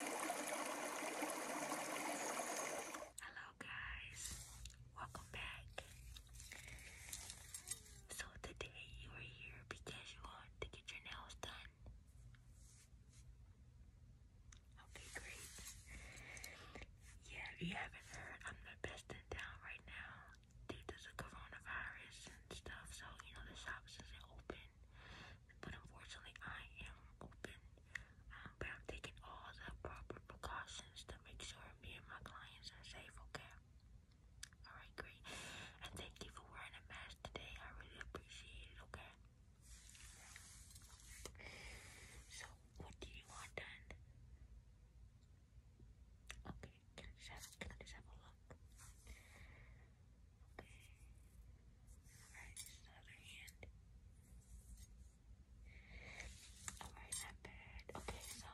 Hello guys, welcome back. So today you are here because you want to get your nails done. Okay, great. Yeah, if you haven't heard, I'm the best in town right now due to the coronavirus and stuff. So you know the shops isn't open. But unfortunately, I am open. Um, but I'm taking all the proper precautions to make sure me and my clients are safe, okay? Alright, great. And thank you for wearing a mask today. I really appreciate it, okay? So, what do you want done? Okay, can I just have a look? Alright, just another hand. Alright, not bad. Okay, so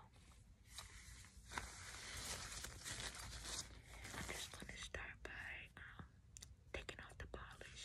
I'm just gonna start by um, taking off the polish.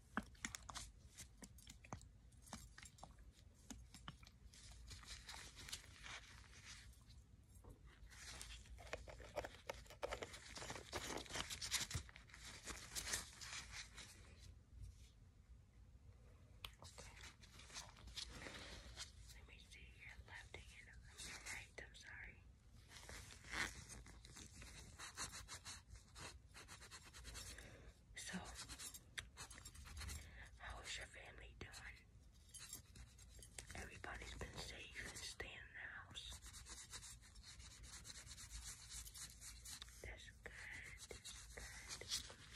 Let me see your left hand. Your right, I'm sorry. So, how is your family doing? Everybody's been safe and staying in the house. That's good. That's good.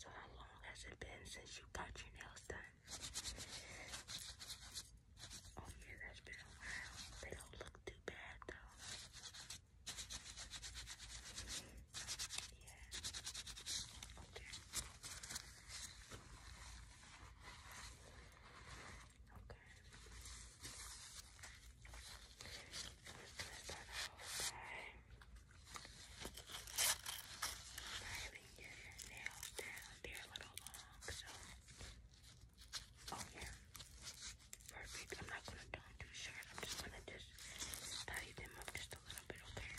So how long has it been since you got your nails almost done. Oh man, that's been a while. They don't look too bad though. Yeah. Okay. Okay. Let's let that all die. Having your Oh, yeah. Perfect. I'm not going to do too short. I'm just going to just tidy them up just a little bit, Okay.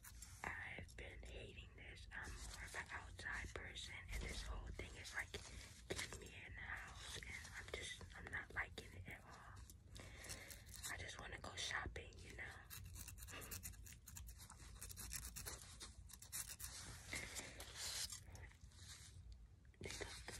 I've been hating this. I'm more of an outside person, and this whole thing is like keeping me in the house, and I'm just I'm not liking it at all. I just want to go shopping, you know. look good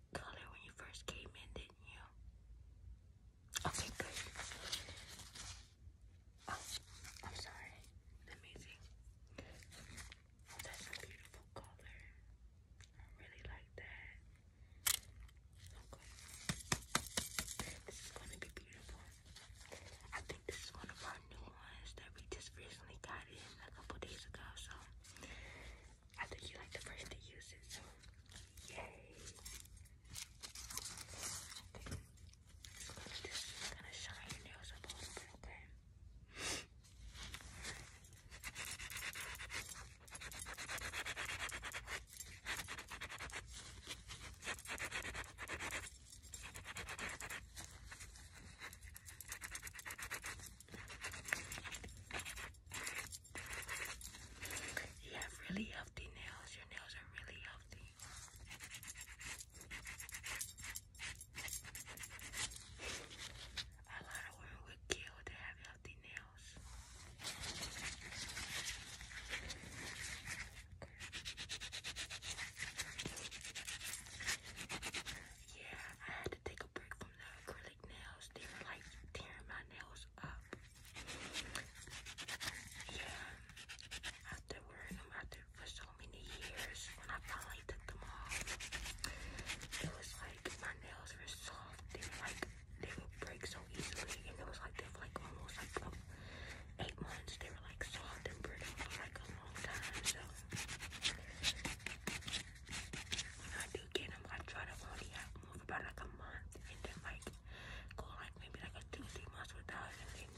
color when you first came in, didn't you? Okay, good. Oh, I'm sorry. Let That's a beautiful color. I really like that. This is going to be beautiful. I think this is one of our new ones that we just recently got in a couple days ago. So I think you like the first to use it, so yay. Okay. This is gonna shine your nails up a little bit, okay? Okay, you have really healthy nails. Your nails are really healthy. A lot women would kill to have healthy nails yeah, I had to take a break from the acrylic nails. They were like tearing my nails up. Yeah, after wearing them after for so many years, when I finally took them off, it was like my nails were soft. They were like they would break so easily, and it was like they were like almost like um, eight months. They were like soft and brittle for like a long time. So when I do get them, I try to only have about like a month and then like go like maybe like a two, three months without and then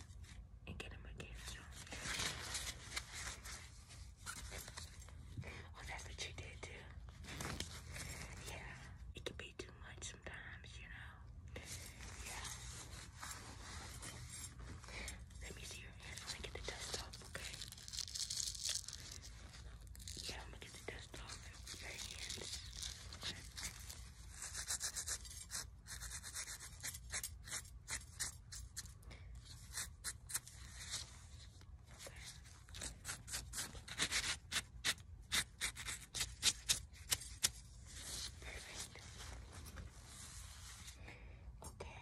and get again. So. Oh, that's what you did too. Yeah, it could be too much sometimes, you know. Yeah. Let me see your hands when I get the dust off, okay? Yeah, I'm gonna get the dust off your hands. Perfect. Okay.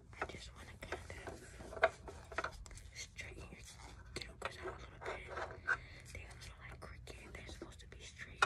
I just want to kind of straighten your throat because I'm a little bit. They are little like crooked. They're supposed to be straight.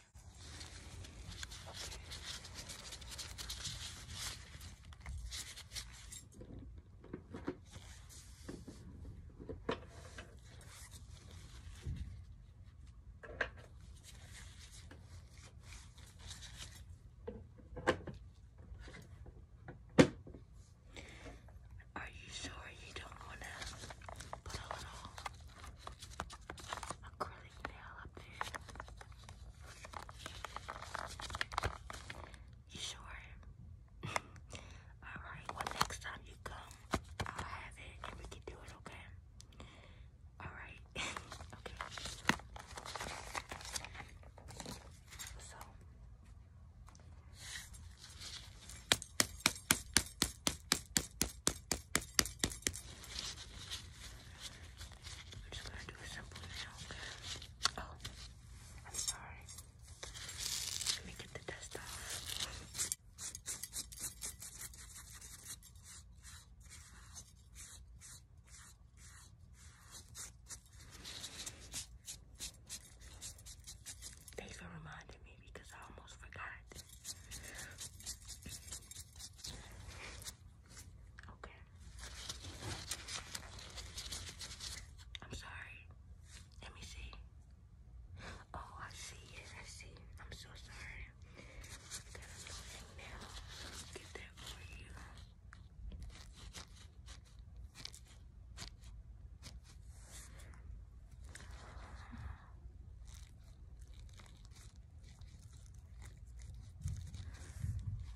Are you sure you don't want to put a little acrylic You sure? Alright, well next time you come, I'll have it and we can do it, okay? Alright. okay. So I'm just gonna do a simple now. Oh, I'm sorry. Let me get the dust off. Thanks for reminding me because I almost forgot. Okay. I'm sorry. Let me see. Oh, I see it. I see I'm so sorry. I get that for you. Okay, let me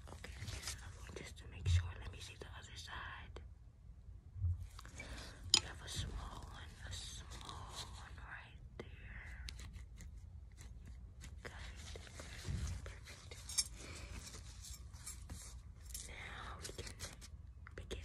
another just to make sure. Let me see the other side. You have a small one, a small one right there. Good, perfect. Now we can begin.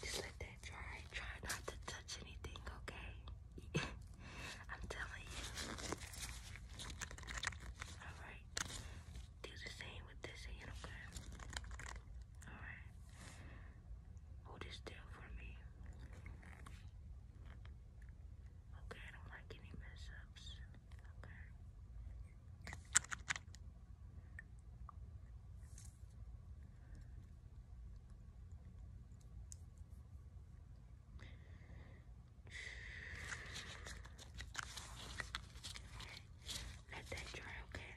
Just like that Try not to touch anything, okay? I'm telling you. Alright. Do the same with this hand, okay? Alright. Hold still for me. Okay, I don't like any mess ups. Okay. Let that dry, okay?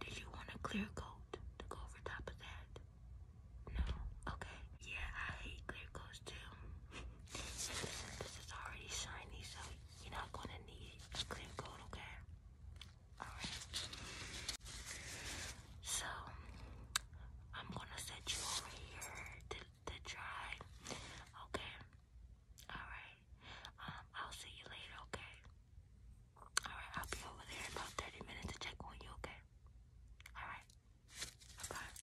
Did you want a clear coat to go over top of that? No? Okay. Yeah, I hate clear coats too. It's already shiny, so you're not gonna need a clear coat, okay? Alright. So I'm gonna set you over here to, to dry. Okay. Alright. Um, I'll see you later, okay? Alright, I'll be over there in about 30 minutes to check on you, okay? Alright. Bye.